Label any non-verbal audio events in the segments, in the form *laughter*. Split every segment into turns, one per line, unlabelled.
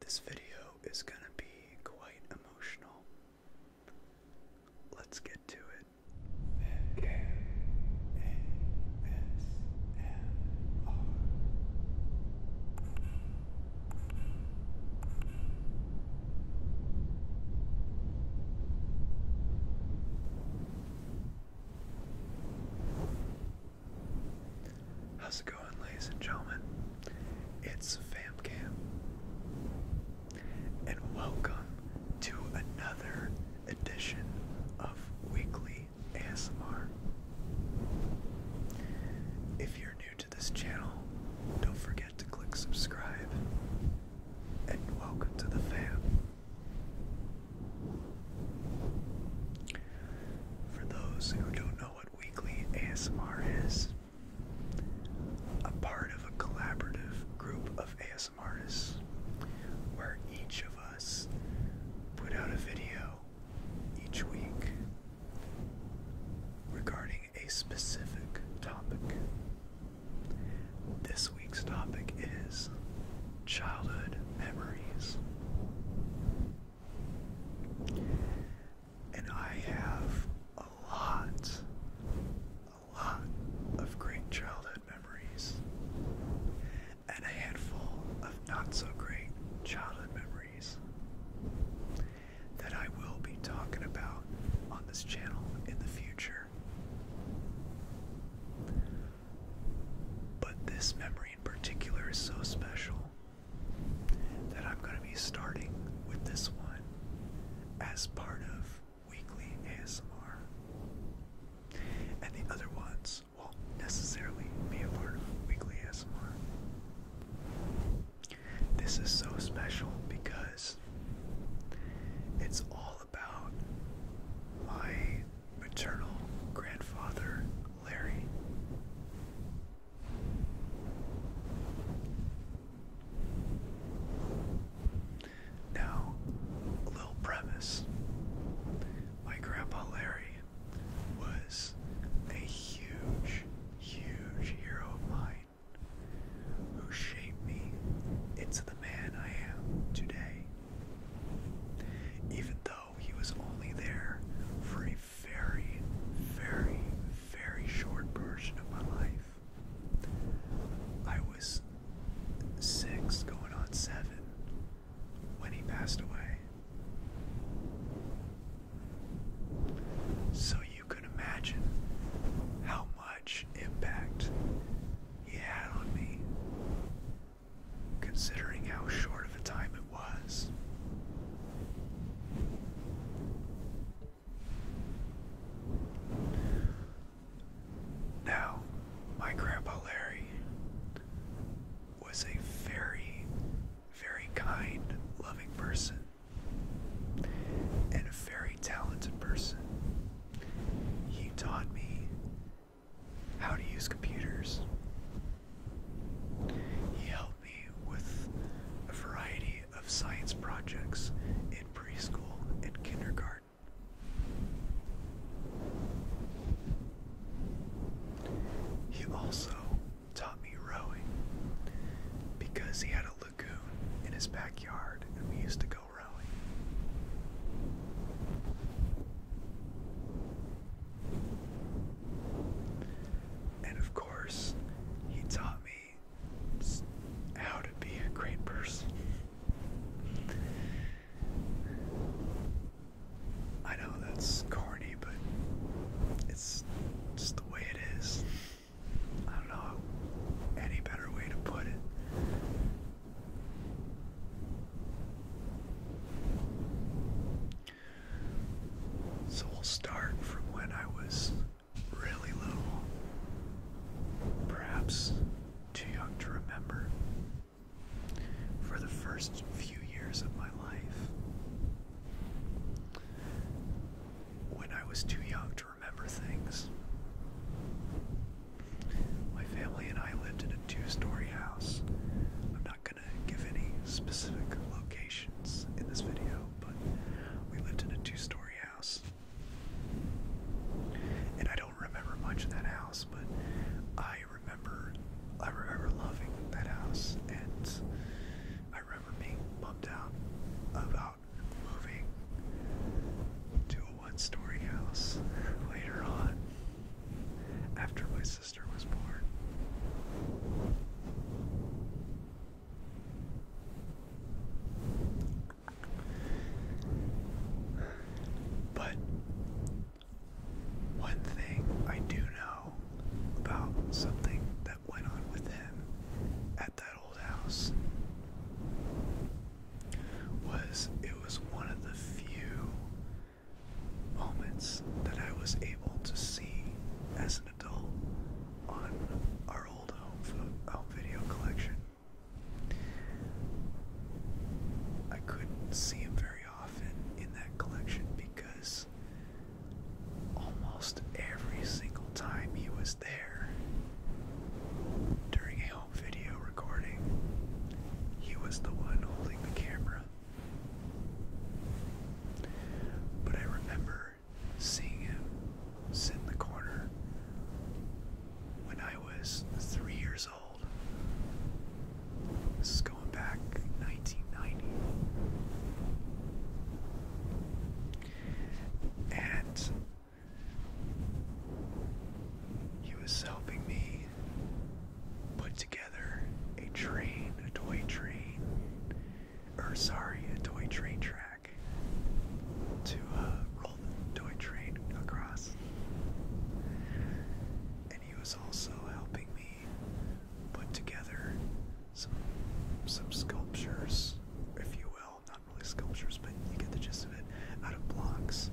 This video is going to be quite emotional. Let's get to it. How's it going, ladies and gentlemen? It's FamCam, and welcome to another edition of Weekly ASMR. If you're new to this channel, don't forget to click subscribe, and welcome to the fam. For those who don't know what Weekly ASMR is a part of a collaborative group of ASMR artists, where each of us put out a video each week regarding a specific topic. This week's topic is childhood memories and I have a lot, a lot of great childhood memories, and a handful of not so great childhood memories that I will be talking about on this channel in the future. But this memory in particular is so special that I'm going to be starting with this one as part of weekly ASMR. And the other ones will necessarily be a part of weekly ASMR. This is so special because it's all about my maternal grandfather, Larry. Now, a little premise. My grandpa Larry was a huge, huge hero of mine who shaped me into the man I am today. Even though he was only there for a very, very, very short version of my life. I was six going on seven when he passed away. So you can imagine how much impact he had on me, considering how short of a time it was. Now, my grandpa Larry was a very, very kind, loving person and a very talented person. He taught me how to use computers. He helped me with a variety of science projects in preschool and kindergarten. He also taught me rowing because he had a lagoon in his backyard and we used to go rowing. And of course, he taught me how to be a great person. I know that's corny, but it's just the way it is. I don't know any better way to put it. So we'll start from when I was really little, perhaps too young to remember. For the first few years of my life, when I was too young to remember things, my family and I lived in a two story house. I'm not going to give any specific locations in this video, but we lived in a two story house. And I don't remember much of that house, but I remember I remember loving that house and I remember being bummed out about moving to a one story house later on after my sister was born. But one thing I do know about something that went on with him at that old house was it was one of the few moments that I was able to see as adult on our old home video collection. I couldn't see him very often in that collection because almost every single time he was there during a home video recording, he was the one holding the camera. But I remember seeing him sit in the corner when I was three years old. This is going back 1990. And he was helping me put together a train, a toy train, or sorry, a toy train track to uh, roll the toy train across. And he was also helping me put together some some sculptures, if you will, not really sculptures, but you get the gist of it, out of blocks.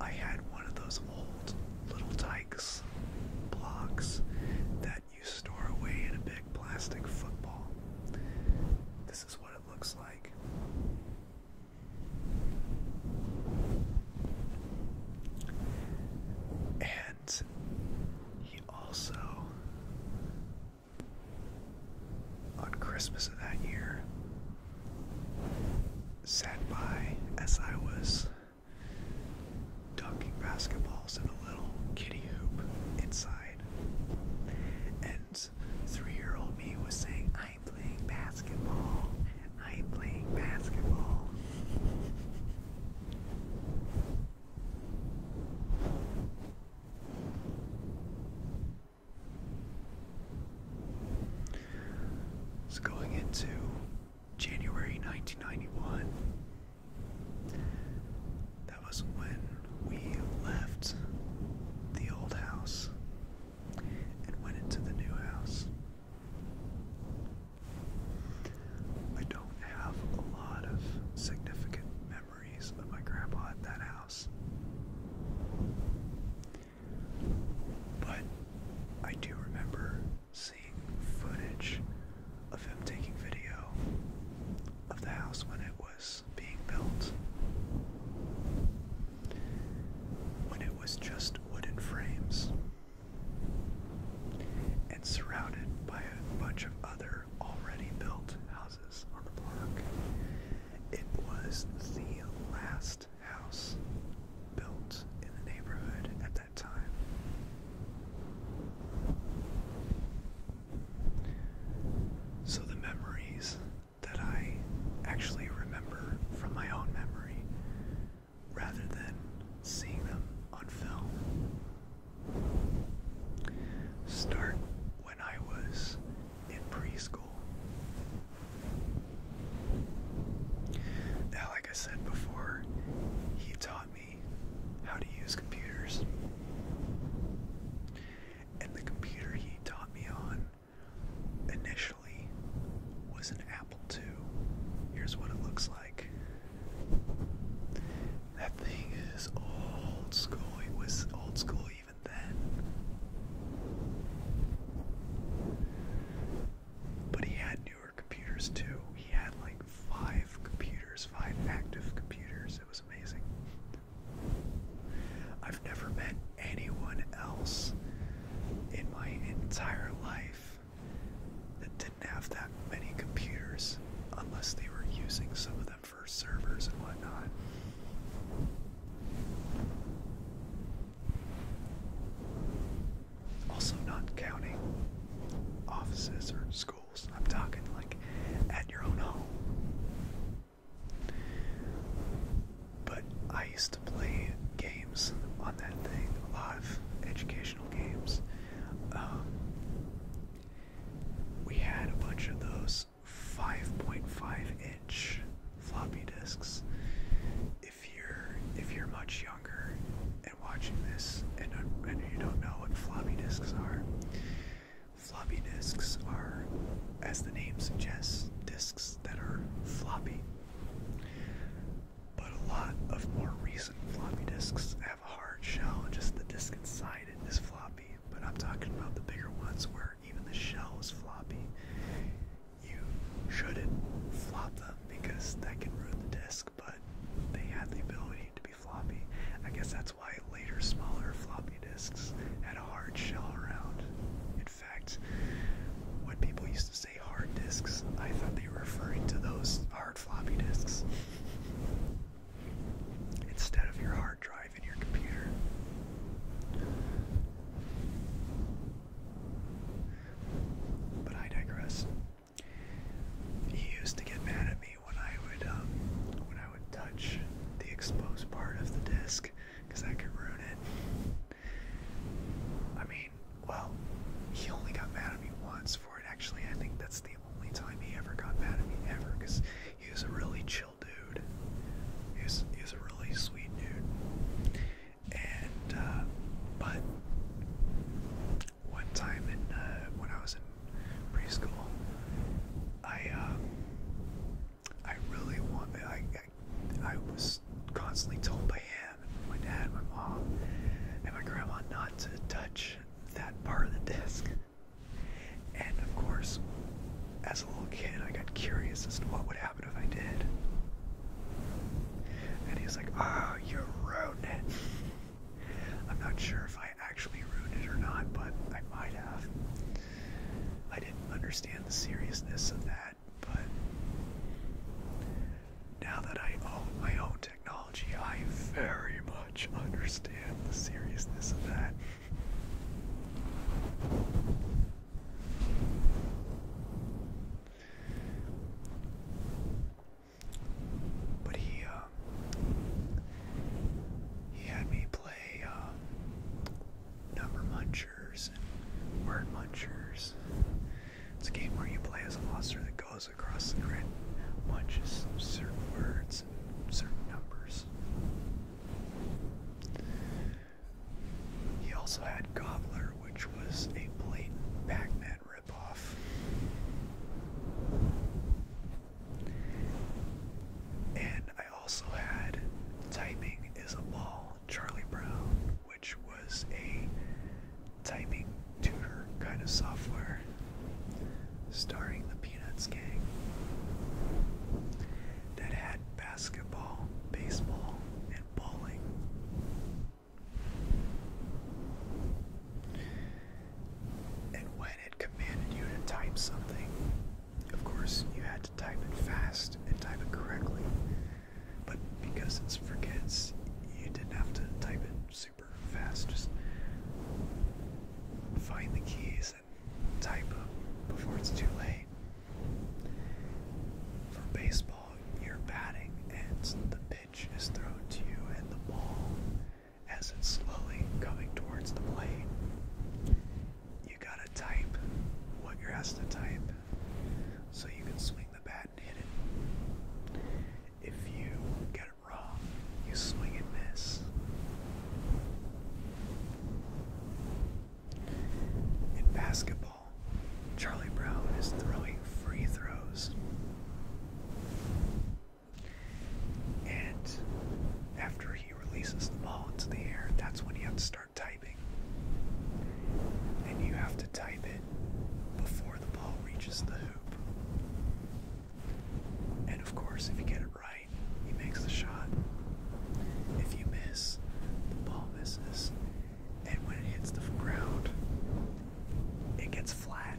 I had one of those old little dykes blocks that you store away in a big plastic football. This is what it looks like. And he also, on Christmas of that year, sat by as I was dunking basketballs in a little kiddie hoop inside. And three year old me was saying, I'm playing basketball. I'm playing basketball. So going into January 1991, that was when we left the old house and went into the new house. I don't have a lot of significant memories of my grandpa at that house. But I do remember seeing footage of him taking video of the house when it was being built. When it was just wooden frames and surrounded by a bunch of other already built houses on the block, it was the last house built in the neighborhood at that time. So the memories that I actually remember from my own memory rather than seeing them on film start when I was in preschool. Now, like I said before, he taught me how to use computers. And the computer he taught me on initially was an Apple II. Here's what it looks like. That thing is old school. It was old school even then. But he had newer computers too. He had like five computers five active computers. It was amazing. I've never met anyone else in my entire life that didn't have that many computers unless they were using some of them for servers and whatnot. Also, not counting offices or schools. I'm talking like at your own home. But I used to play games on that thing, a lot of educational games. Um, we had a bunch of those 5.5 inch floppy disks. If you're if you're much younger and watching this and you don't know what floppy disks are, Floppy disks are, as the name suggests, disks that are floppy. But a lot of more recent floppy disks have a hard shell, just the disk inside it is floppy. But I'm talking about the bigger ones where even the shell is floppy. You shouldn't flop them because that can ruin the disk, but they had the ability to be floppy I guess that's why later smaller floppy disks had a hard shell around. In fact, when people used to say hard disks, I thought they were referring to those hard floppy disks. Instead of your hard drive in your computer. But I digress. He used to get mad at me when I would um, when I would touch the exposed part of the disc because I could ruin it. I mean, well, he only got mad at me once for it. Actually, I think that's the only time he ever got mad at me ever because he was a really chill dude. He's was a really sweet dude. And uh, but one time in uh, when I was in preschool. I uh, I really want. I, I was constantly told by him, my dad, my mom, and my grandma not to touch that part of the disc. And of course, as a little kid, I got curious as to what would happen if I did. And he was like, "Ah, oh, you're ruining it." *laughs* I'm not sure if I I actually ruined it or not, but I might have. I didn't understand the seriousness of that, but now that I own my own technology, I very much understand the seriousness of that. But he, uh, he had me play um, number munchers and word munchers. It's a game where you play as a monster that goes across the grid, munches certain words and certain numbers. He also had Gobbler, which was a blatant pac ripoff. And I also had Typing is a Ball, Charlie Brown, which was a typing tutor kind of software starring the Peanuts gang that had basketball, baseball, and bowling. And when commanded you to type something. Of course, you had to type it fast and type it correctly, but because it's for you didn't have to type it super fast. Just find the keys and type them before it's too late. For baseball, you're batting and the pitch is thrown to you and the ball as it's slowly coming towards the blade. You gotta type what you're asked to type so you can swing the bat and hit it. If you get it wrong, you swing and miss. In basketball, Charlie Brown is throwing free throws. And after he releases the ball into the air, that's when he has to start typing. And you have to type it before the ball reaches the hoop. And of course, if you get it right, he makes the shot. If you miss, the ball misses. And when it hits the ground, it gets flat.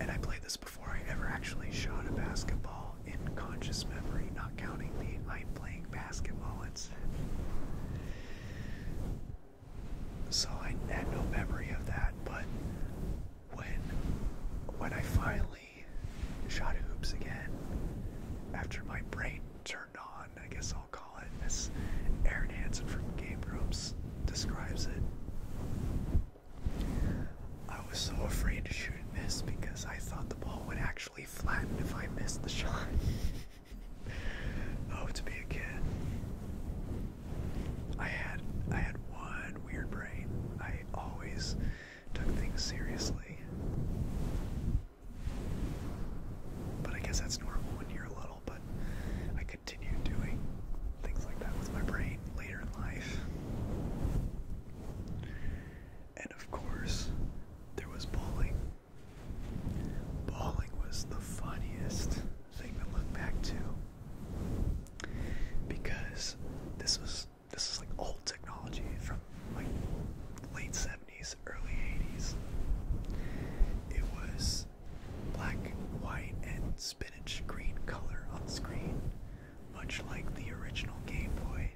And I play this before I ever actually shot a basketball in conscious memory, not counting the i playing basketball incident. So I had no memory of that, but when when I finally shot hoops again, after my brain turned on, I guess I'll call it, as Aaron Hansen from Game Rooms describes it, I was so afraid to shoot and miss because I thought the ball would actually flatten if I missed the shot. *laughs* oh, to be a kid. I had I had one weird brain. I always took things seriously. But I guess that's normal when you're little, but I could continue doing things like that with my brain later in life. And of course, there was bowling. Bowling was the funniest thing to look back to because this was this is like old technology from like late 70s, early 80s. It was black, white, and spinach green color on screen, much like the original Game Boy.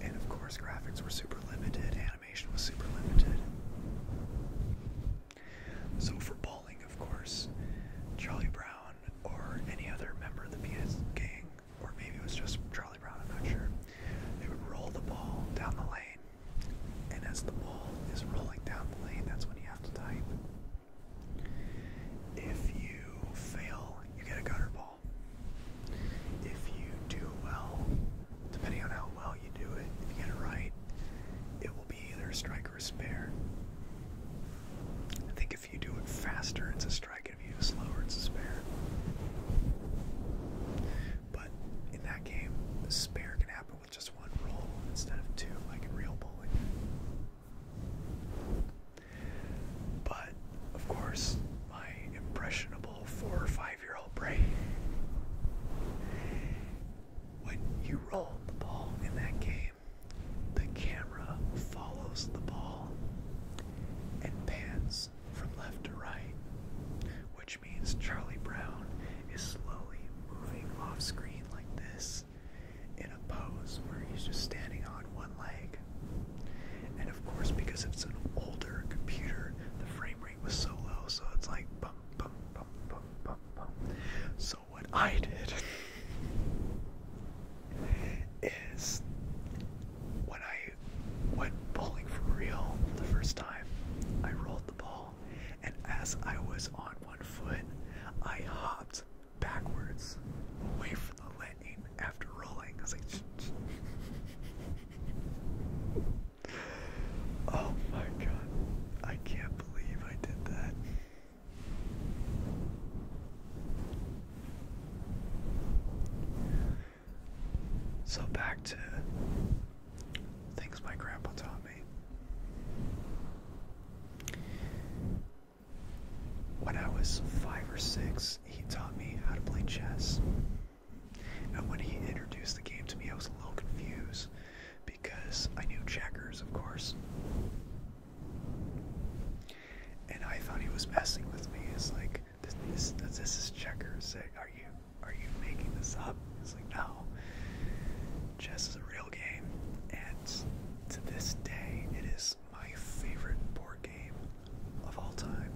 And of course, graphics were super limited, animation was super limited. So, for bowling, of course, Charlie Brown or any other member of the Peanuts gang, or maybe it was just Charlie Brown, I'm not sure, they would roll the ball down the lane and as the ball is rolling down the lane, that's when you have to type. If you fail, you get a gutter ball. If you do well, depending on how well you do it, if you get it right, it will be either a strike or a spare. I think if you do it faster, it's a strike, and if you do it slower, it's a spare. But in that game, the spare can happen with just one roll instead of two, like in real bowling. But, of course, my impressionable four or five year old brain, when you roll the ball in that game, the camera follows the ball and pans from left to right, which means Charlie Brown is slowly moving off screen like this in a pose where he's just standing on one leg. And of course, because it's an older computer, the frame rate was so low, so it's like bum, bum, bum, bum, bum, bum. So, what I did is when I went bowling for real the first time, I rolled the ball and as I was on one foot, I hopped backwards away from the lane after rolling. oh my god, I can't believe I did that. So back to things my grandpa taught when I was five or six, he taught me how to play chess. And when he introduced the game to me, I was a little confused because I knew checkers, of course. And I thought he was messing with me. It's like, this, is checkers. Are you, are you making this up? It's like, no. Chess is a real game, and to this day, it is my favorite board game of all time.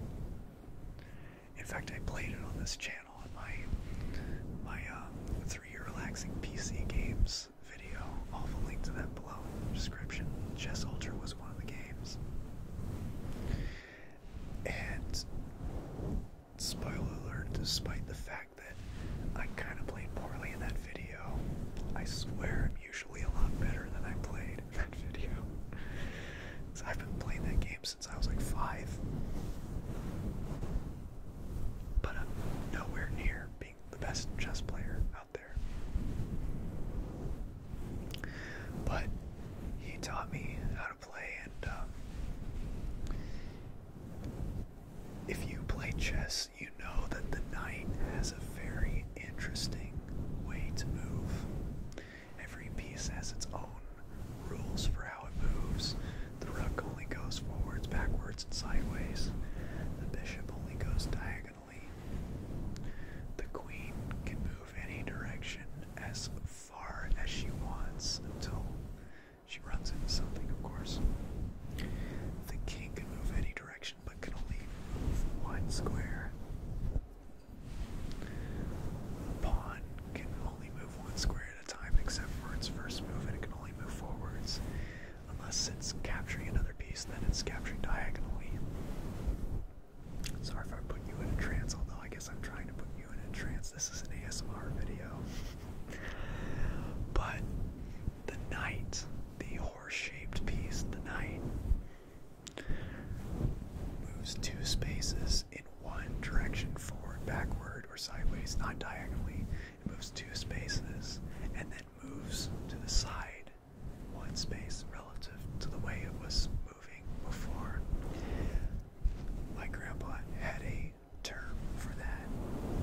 In fact, I played it on this channel in my my um, three-year relaxing PC games video. All the have link to that below in the description. Chess Ultra was one of the games, and Spoiler alert, despite the fact that I kind of played poorly in that video, I swear I'm usually a lot better than I played in that video. because *laughs* I've been playing that game since I was like five. But I'm nowhere near being the best chess player out there. But he taught me how to play, and um, if you play chess, you know that the knight has a very interesting way to move. Every piece has its own rules for how it moves. The rook only goes forwards, backwards, and sideways. The bishop only goes diagonally. The queen can move any direction as far as she wants until she runs into something, of course. The king can move any direction, but can only move one square. pawn can only move one square at a time, except for its first move, and it can only move forwards. Unless it's capturing another piece, then it's capturing diagonally. Sorry if I put you in a trance, although I guess I'm trying to put you in a trance. This is an ASMR video. *laughs* but the knight, the horse-shaped piece, the knight, moves two spaces in one direction, forward, backward, or sideways, not diagonally. It moves two spaces and then moves to the side one space relative to the way it was moving before. My grandpa had a term for that.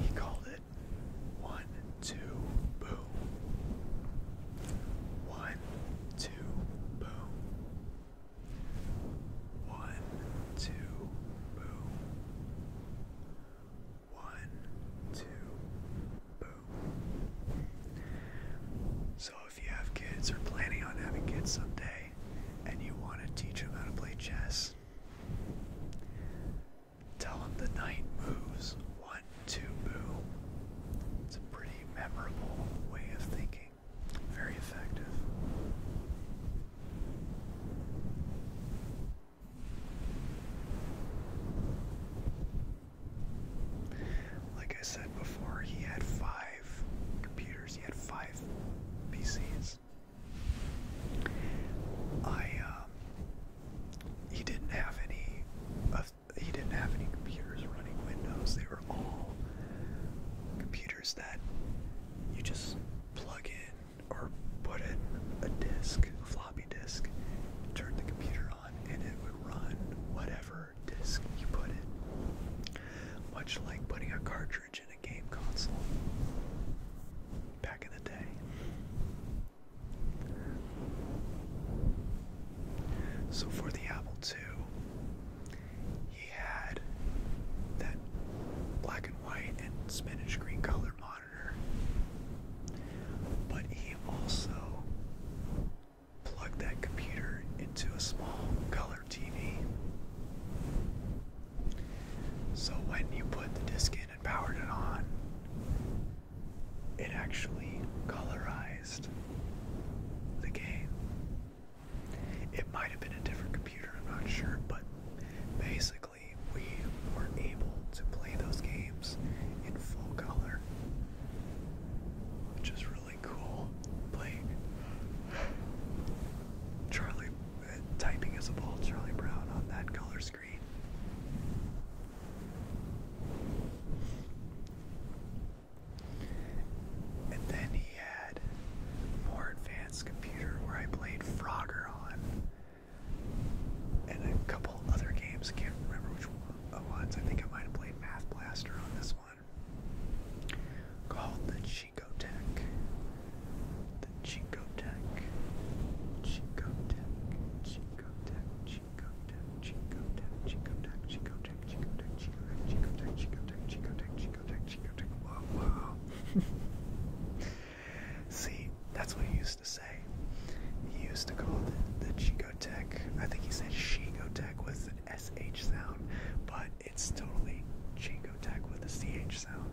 He called it one, two, boom. One, two, boom. One, two, boom. One, two, boom. So if you have kids or planning on having kids someday and you want to teach them how to play chess, Tell him the knight moves. One, two, boom. It's a pretty memorable way of thinking. Very effective. Like I said before, he had five computers, he had five PCs. I um, he didn't have any uh, he didn't have any computers running Windows. They were all computers that you just plug in or put in a disk, a floppy disk, turn the computer on and it would run whatever disk you put in. Much like putting a cartridge in a game console back in the day. So for the Apple II, he had that black and white and spinach green color monitor, but he also plugged that computer into a small color TV. So when you put the disc in and powered it on, it actually colorized the game. It might have been a different computer, I'm not sure, but basically we were able to play those games in full color, which is really cool. Playing Charlie, uh, typing as a ball, Charlie Brown on that color and then he had more advanced computer where I played Frogger on. And a couple other games, I can't remember which uh, ones. I think I might have played Math Blaster on this one. Called the Chico Tech the Chico Tech, Chico Tech, Chico Tech, Chico Tech, Chico Tech, Chico Tech, Chico Tech, Chico Tech, Chico Tech, Chico Tech, Chico Tech, Chico Tech, Chico Tech, Chico Tech. Wow, wow. See, that's what he used to say. He used to call the, the Chico Tech. I think he said Chico Tech with an S H sound, but it's totally Chico Tech with a C H sound.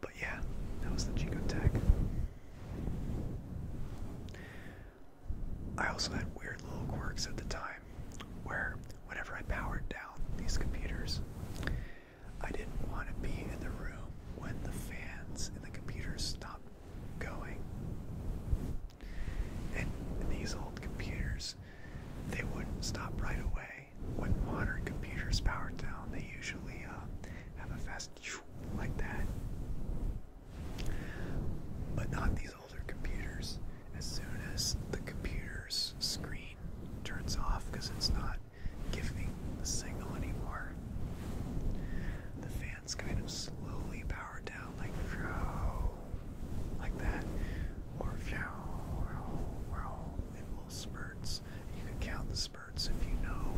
But yeah, that was the Chico Tech. I also had weird little quirks at the time where whenever I powered down these computers, I didn't want to be in the room when the fans in the computers stopped going. And these old computers, they wouldn't stop right away when modern computers power down, they usually uh, have a fast like that. But not these older computers. As soon as the computer's screen turns off because it's not giving the signal anymore, the fans kind of slowly power down like like that, or in little spurts. You can count the spurts if you know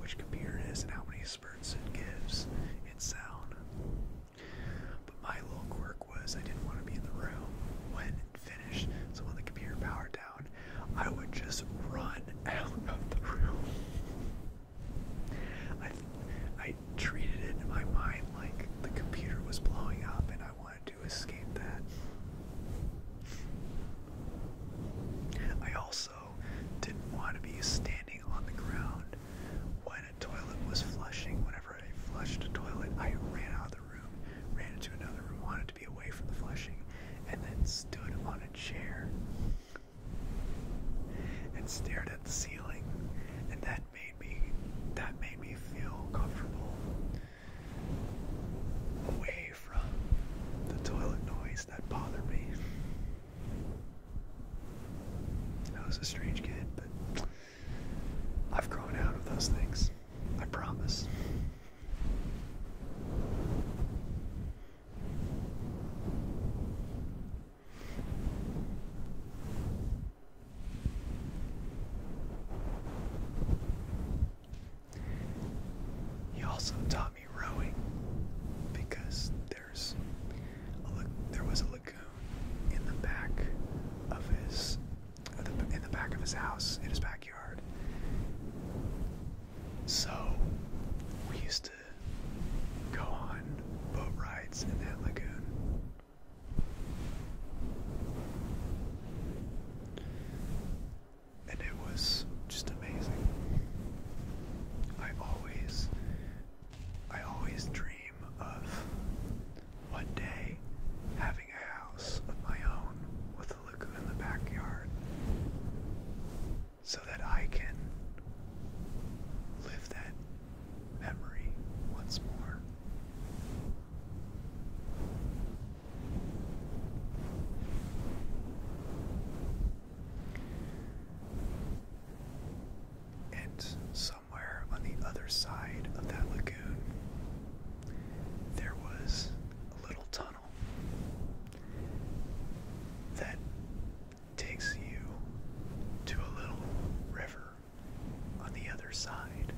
which computer it is and how many spurts it gives in sound. But my little quirk was I didn't want to be in the room when it finished, so when the computer powered down, I would just run *laughs* out of the room. I, I treated it in my mind like the computer was blowing up and I wanted to I also didn't want to be standing on the ground when a toilet was flushing. Whenever I flushed a toilet, I ran out of the room, ran into another room, wanted to be away from the flushing, and then stood on a chair and stared at the ceiling. And that made me that made me feel comfortable away from the toilet noise that bothered me. I was a strange kid, but I've grown out of those things. I promise. He also taught me rowing because there's there was a lagoon in the back of his in the back of his house in his backyard. So we used to go on boat rides in that lagoon and it was just amazing. I always, I always dream of one day having a house of my own with a lagoon in the backyard so that I can live that memory once more. And somewhere on the other side of that lagoon, there was a little tunnel that takes you to a little river on the other side.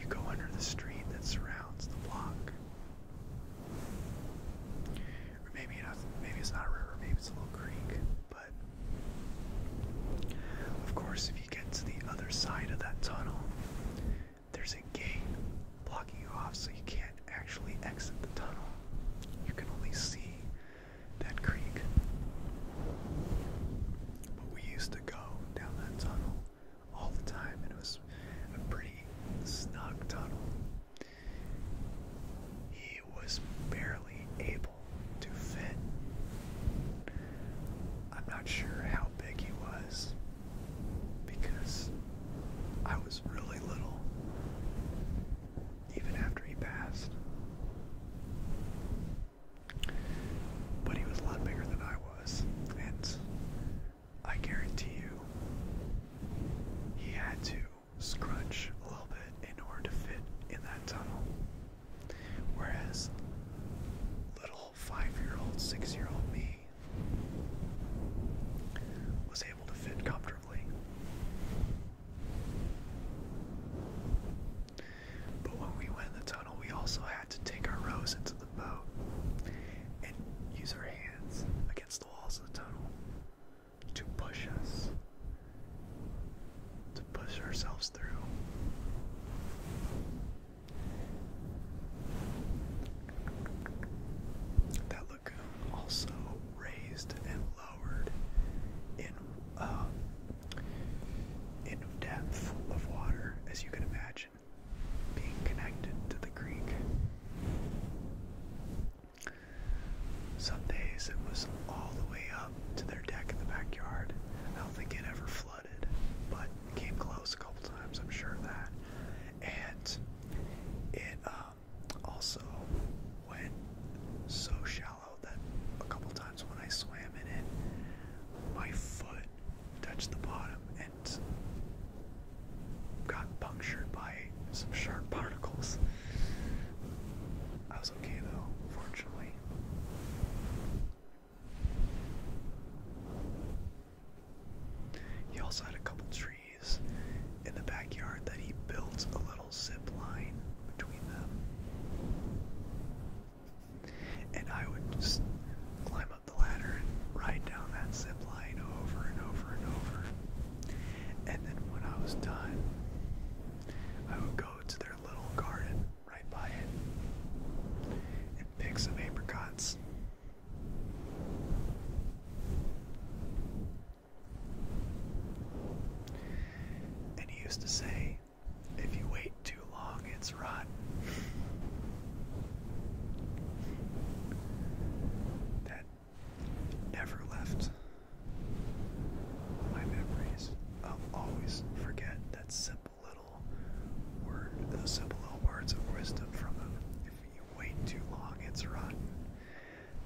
You go under the street that surrounds the block, Maybe it's not a river. Maybe it's a little creek. But of course, if you get to the other side of that tunnel, there's a gate blocking you off, so you can't actually exit the tunnel. You can only see that creek. But we used to go down that tunnel all the time, and it was a pretty snug tunnel. He was barely able to fit. I'm not sure how big he was because I was really little even after he passed. But he was a lot bigger than I was, and I guarantee you, he had to scrunch a little bit in order to fit in that tunnel. Whereas, little five year old, six year old me was able to fit comfortably. But when we went in the tunnel, we also had to take our rows into the boat and use our hands against the walls of the tunnel to push us, to push ourselves through. That lagoon also raised and lowered in uh, in depth of water, as you can imagine being connected to the creek. Some days it was all the way up to their deck in the backyard. I don't think it ever flooded, but came close a couple times, I'm sure of that. And it um, also went so shallow that a couple times when I swam in it, my foot touched the bottom got punctured by some sharp particles. I was okay though, fortunately. He also had a couple trees in the backyard that he built a little zip line between them. And I would just climb the ladder and ride down that zip line over and over and over. And then when I was done, I would go to their little garden right by it and pick some apricots. And he used to say, if you wait too long, it's rotten that never left my memories. I'll always forget that simple little word, those simple little words of wisdom from them. If you wait too long, it's rotten.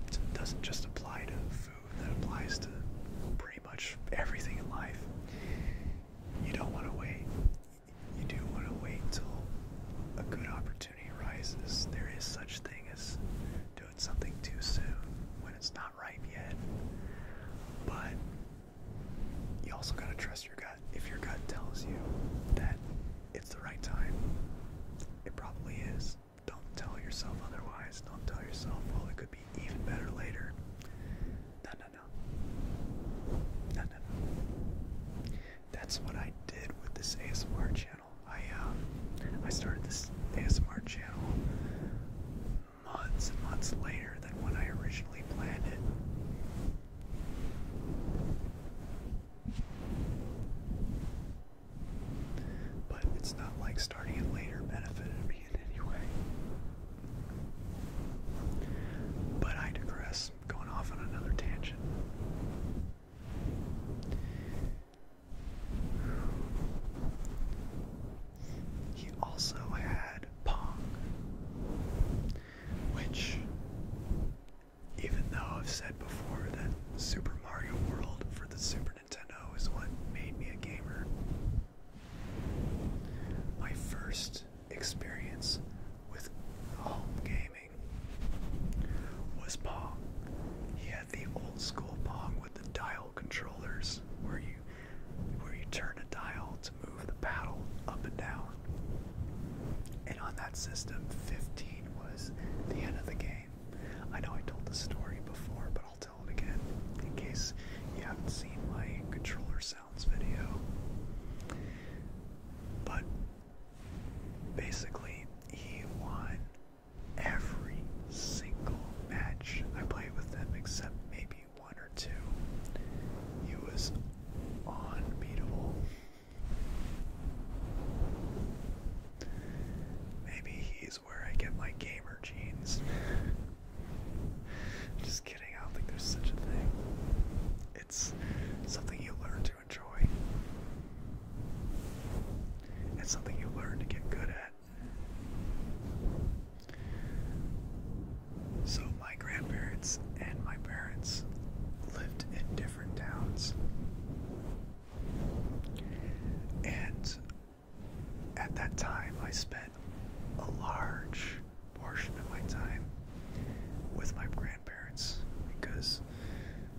It doesn't just apply to food, that applies to pretty much everything in life. You don't want to wait you do want to wait till a good opportunity arises. There is such thing as doing something too soon when it's not ripe yet. But you also got to trust your gut. If your gut tells you that it's the right time, it probably is. Don't tell yourself otherwise. Don't tell yourself, well, it could be even better later. No, no, no. No, no, no that's what I did with this ASMR channel. I um, I started this ASMR channel months and months later than when I originally planned it. But it's not like starting it later benefited me in any way. But I digress, going off on another tangent. He also had Pong, which, even though I've said before that Super Mario World for the Super Nintendo is what made me a gamer, my first experience with home gaming was Pong. He had the old school Pong with the dial controllers where you where you turn a dial to move the paddle up and down. And on that system, 15 was the end of the game. I know I told the story before, but I'll tell it again in case you haven't seen my controller sounds video. But basically he won every single match I played with him except maybe one or two. He was unbeatable. Maybe he's where I get my gamer genes. *laughs* Just kidding, I don't think there's such a thing. It's something you learn to enjoy. It's something you learn to get good at. So, my grandparents and my parents lived in different towns. And at that time, I spent a large portion of my time with my grandparents parents, because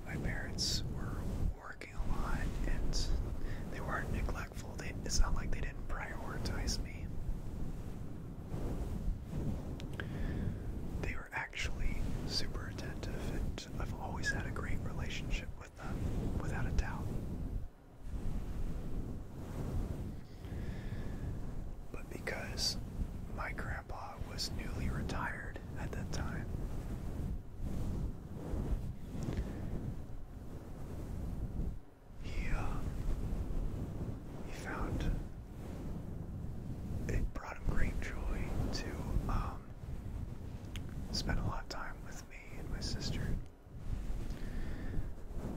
my parents were working a lot and they weren't neglectful. They, it's not like they didn't prioritize me. They were actually super attentive, and I've always had a great relationship with them, without a doubt. But because my grandpa was newly retired at that time. He, uh, he found it brought him great joy to um, spend a lot of time with me and my sister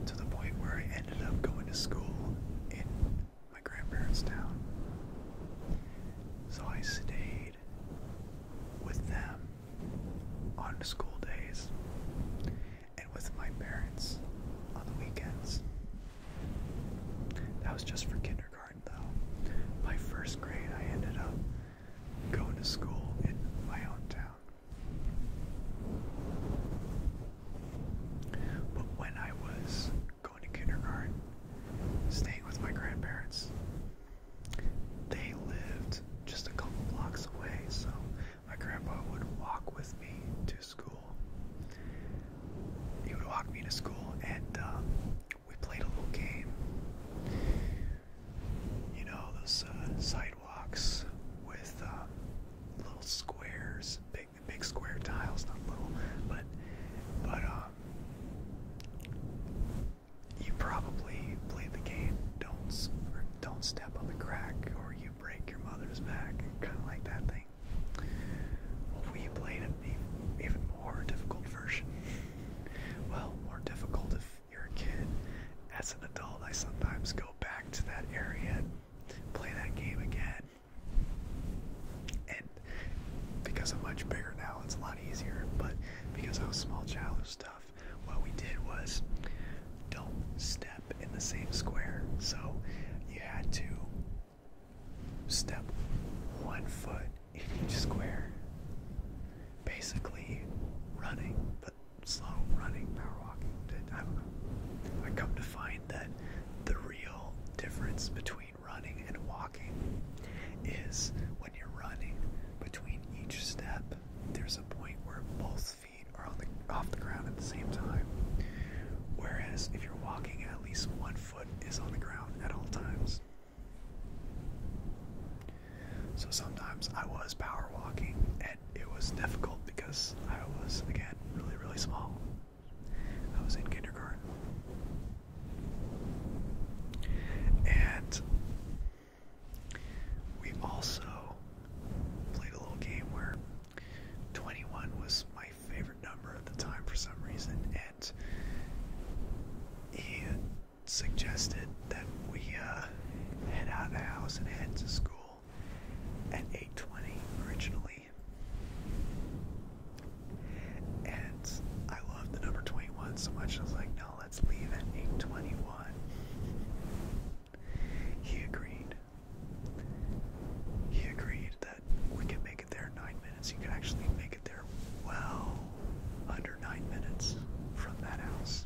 to the point where I ended up going to school in my grandparents' town. So I stayed with them on school days and with my parents on the weekends. That was just for kindergarten, though. By first grade, I ended up going to school in my own town. But when I was going to kindergarten, staying with my grandparents. They lived just a couple blocks away, so my grandpa would walk with me to school. He would walk me to school, and uh, we played a little game. You know, those uh, sidewalks with um, little squares, big, big square tiles, not little, but but um, you probably play the game, don't don't step on the crack, or you break your mother's back, kind of like that thing. Well, we played an even more difficult version. well, more difficult if you're a kid. As an adult, I sometimes go back to that area and play that game again. And because I'm much bigger now, it's a lot easier. But because I was small child and stuff, what we did was don't step in the same square. So you had to step one foot in each square. Basically, running, but slow running, power walking. I come to find that the real difference between running and walking is when you're running, between each step, there's a point where both feet are on the off the ground at the same time. Whereas if you're walking, at least one foot is on the ground at all times. So sometimes I was power walking and it was difficult because I was again really really small. I was in kindergarten. And we also played a little game where 21 was my favorite number at the time for some reason, and he suggested that we uh, head out of the house and head to school at 8:20 originally. And I loved the number 21 so much, I was like, no, let's leave at 821. He agreed. He agreed that we could make it there nine minutes. You could actually make it there well under nine minutes from that house.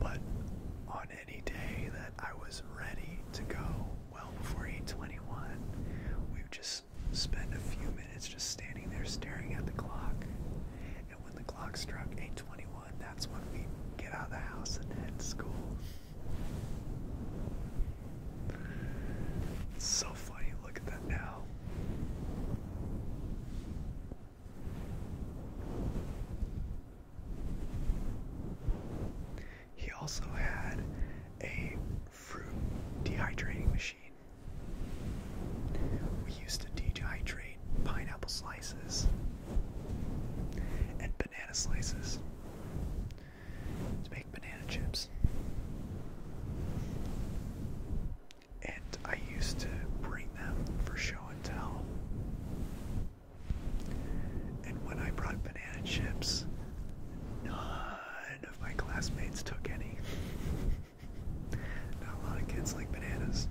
But on any day that I was ready to go, well before 8:21. We just spend a few minutes just standing there staring at the clock. And when the clock struck 8:21, that's when we get out of the house and head to school. so funny. Look at that now. He also had a fruit dehydrating machine. We used to dehydrate pineapple slices and banana slices to make banana chips. And I used to bring them for show and tell. And when I brought banana chips, none of my classmates took any. *laughs* Not a lot of kids like bananas.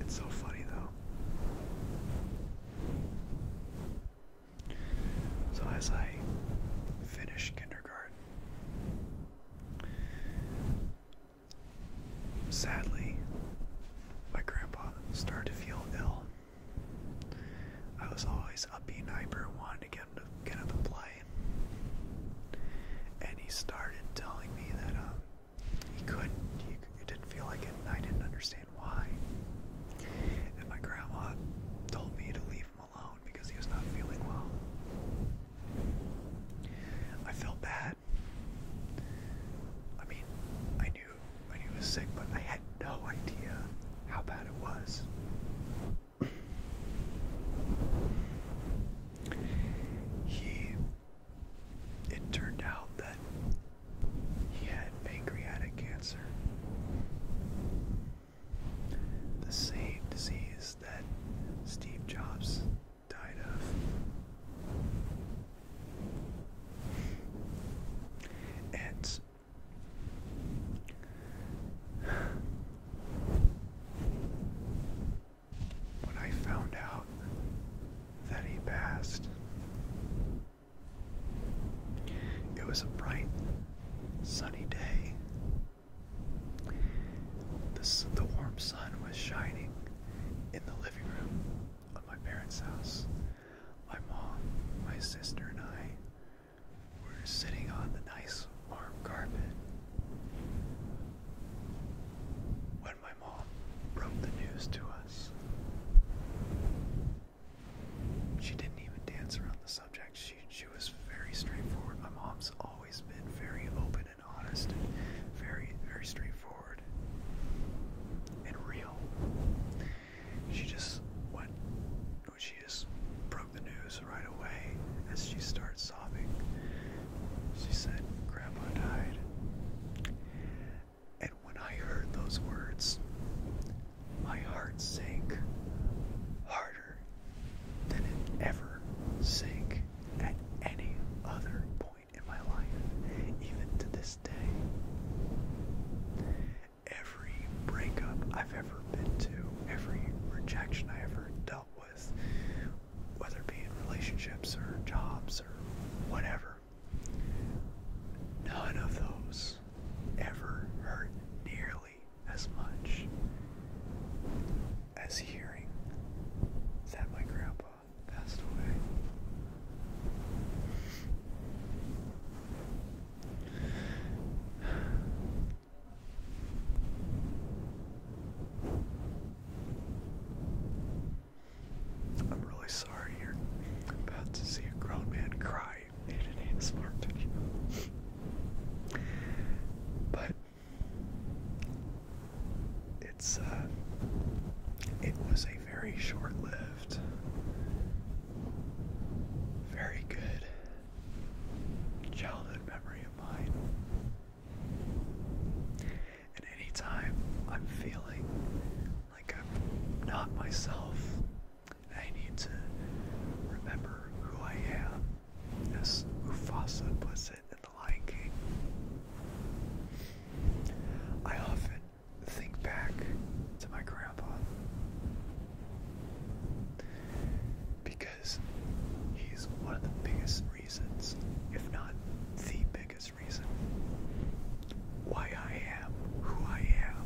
It's so funny though. So as I finished kindergarten, Sadly, my grandpa started to feel ill. I was always upbeat and hyper, wanting to get him to get up and play. And he started telling me that um, he couldn't, he, he didn't feel like it, and I didn't understand why. And my grandma told me to leave him alone because he was not feeling well. I felt bad. I mean, I knew I was sick, but I had no idea how bad it was. he it turned out that he had pancreatic cancer. The same disease that Steve Jobs died of. And when I found out that he passed, it was a bright, sunny day. The, the warm sun was shining in the living room at my parents' house, my mom, my sister, and I were sitting on the nice warm carpet when my mom broke the news to us. She didn't even dance around the subject. She she was very straightforward. My mom's always been very open and honest and very very straightforward and real. She just went, she just broke the news right away as she started sobbing. She said, Grandpa died. And when I heard those words, my heart sank harder than it ever sank at any other point in my life, even to this day. Every breakup I've ever been to, every rejection I ever dealt with, whether it be in relationships or jobs or whatever, none of those ever hurt nearly as much as hearing that my grandpa passed away. I'm really sorry you're about to see a grown man cry in an ASMR video. but it's uh, it was a very short-lived, very good childhood memory of mine. And anytime I'm feeling like I'm not myself, I need to remember who I am, as Mufasa puts it in The Lion King. I often think back to my grandpa because he's one of the biggest reasons, if not the biggest reason, why I am who I am.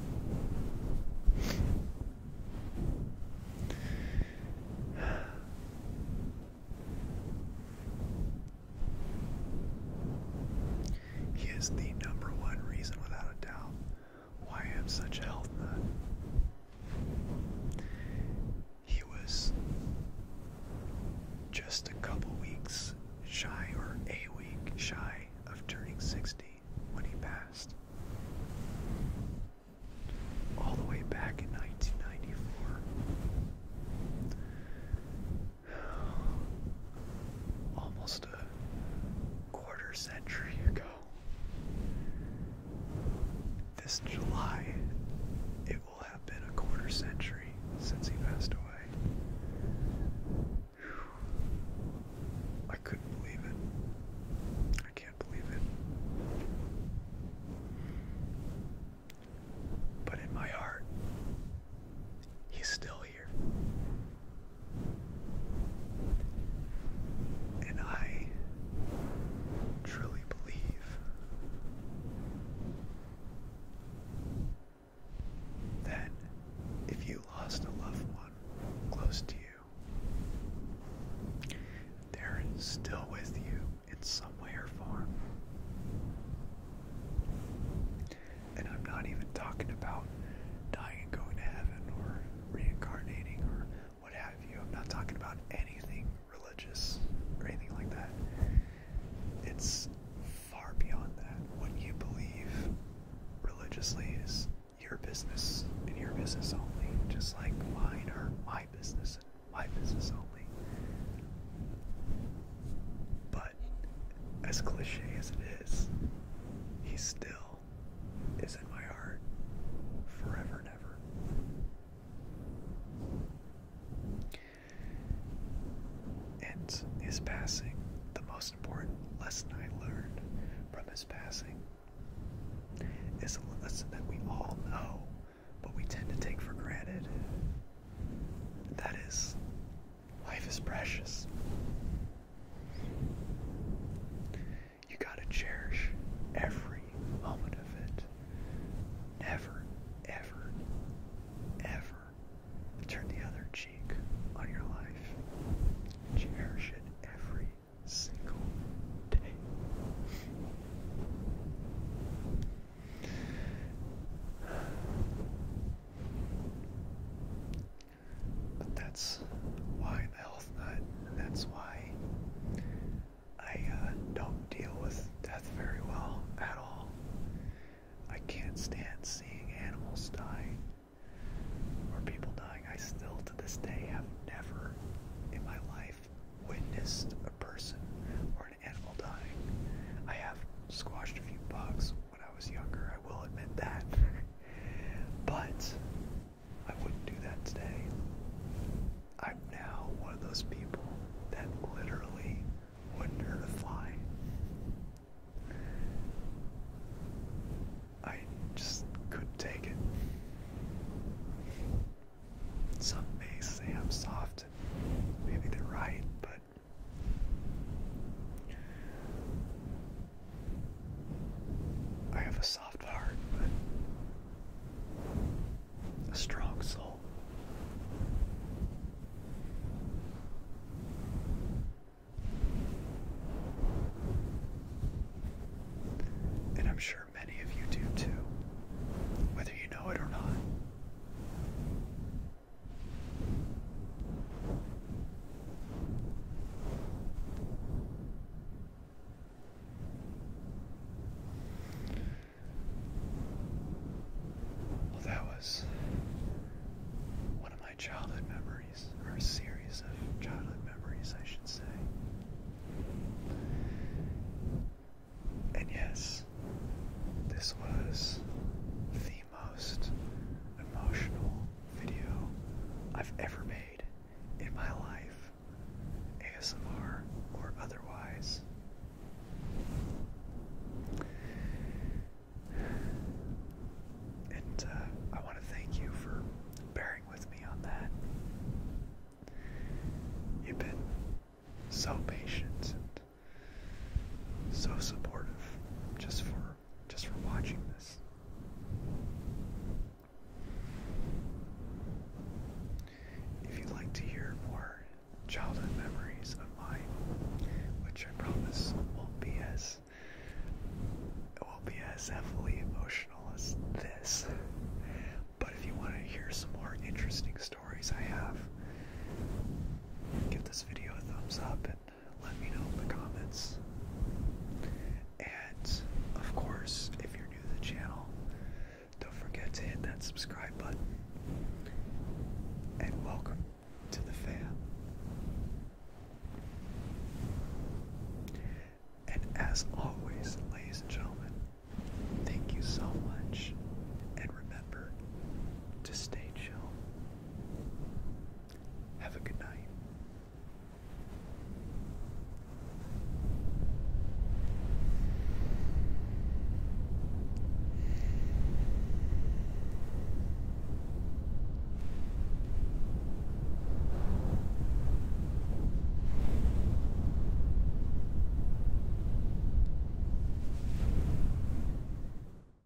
He is the number one reason, without a doubt, why I am such a health nut. He was just a couple weeks shy, or a week shy, of turning 60 when he passed. All the way back in 1994 almost a quarter century ago. This July, it will have been a quarter century since he passed away. I couldn't believe it. I can't believe it. But in my heart, he's still here. And I truly believe that if you lost a loved one close to you, they're still with you in some way or form. And I'm not even talking about dying and going to heaven or reincarnating or what have you. I'm not talking about anything religious or anything like that. It's far beyond that. What you believe religiously is your business and your business only, just like mine are my business and my business only. But as cliche as it is, he still is in my heart forever and ever. And his passing, the most important lesson I learned from his passing is a lesson that we all know, but we tend to take for granted. That is, Life is precious. You gotta cherish every moment of it. Never, ever, ever turn the other cheek on your life. Cherish it every single day. But that's why the health nut, and that's why I uh, don't deal with death very well at all. I can't stand seeing animals die or people dying. I still, to this day, have never in my life witnessed a person or an animal dying. I have squashed a few bugs when I was younger, I will admit that. *laughs* but I wouldn't do that today. I'm now one of those people that literally wouldn't hurt a fly. I just couldn't take it. Some may say I'm soft. Maybe they're right, but I have a soft heart, but a strong soul. And I'm sure many of you do too, whether you know it or not. Well, that was one of my childhood memories, or a series of childhood memories, I should say. And yes, this was the most emotional video I've ever made in my life, ASMR or otherwise. And uh, I want to thank you for bearing with me on that. You've been so patient so supportive just for just for watching this. If you'd like to hear more childhood memories of mine, which I promise won't be as will be as heavily emotional as this. But if you want to hear some more interesting stories I have, give this video a thumbs up and let me know in the comments. And of course, if you're new to the channel, don't forget to hit that subscribe button. And welcome to the fam. And as always, ladies and gentlemen, thank you so much. And remember to stay chill. Have a good night.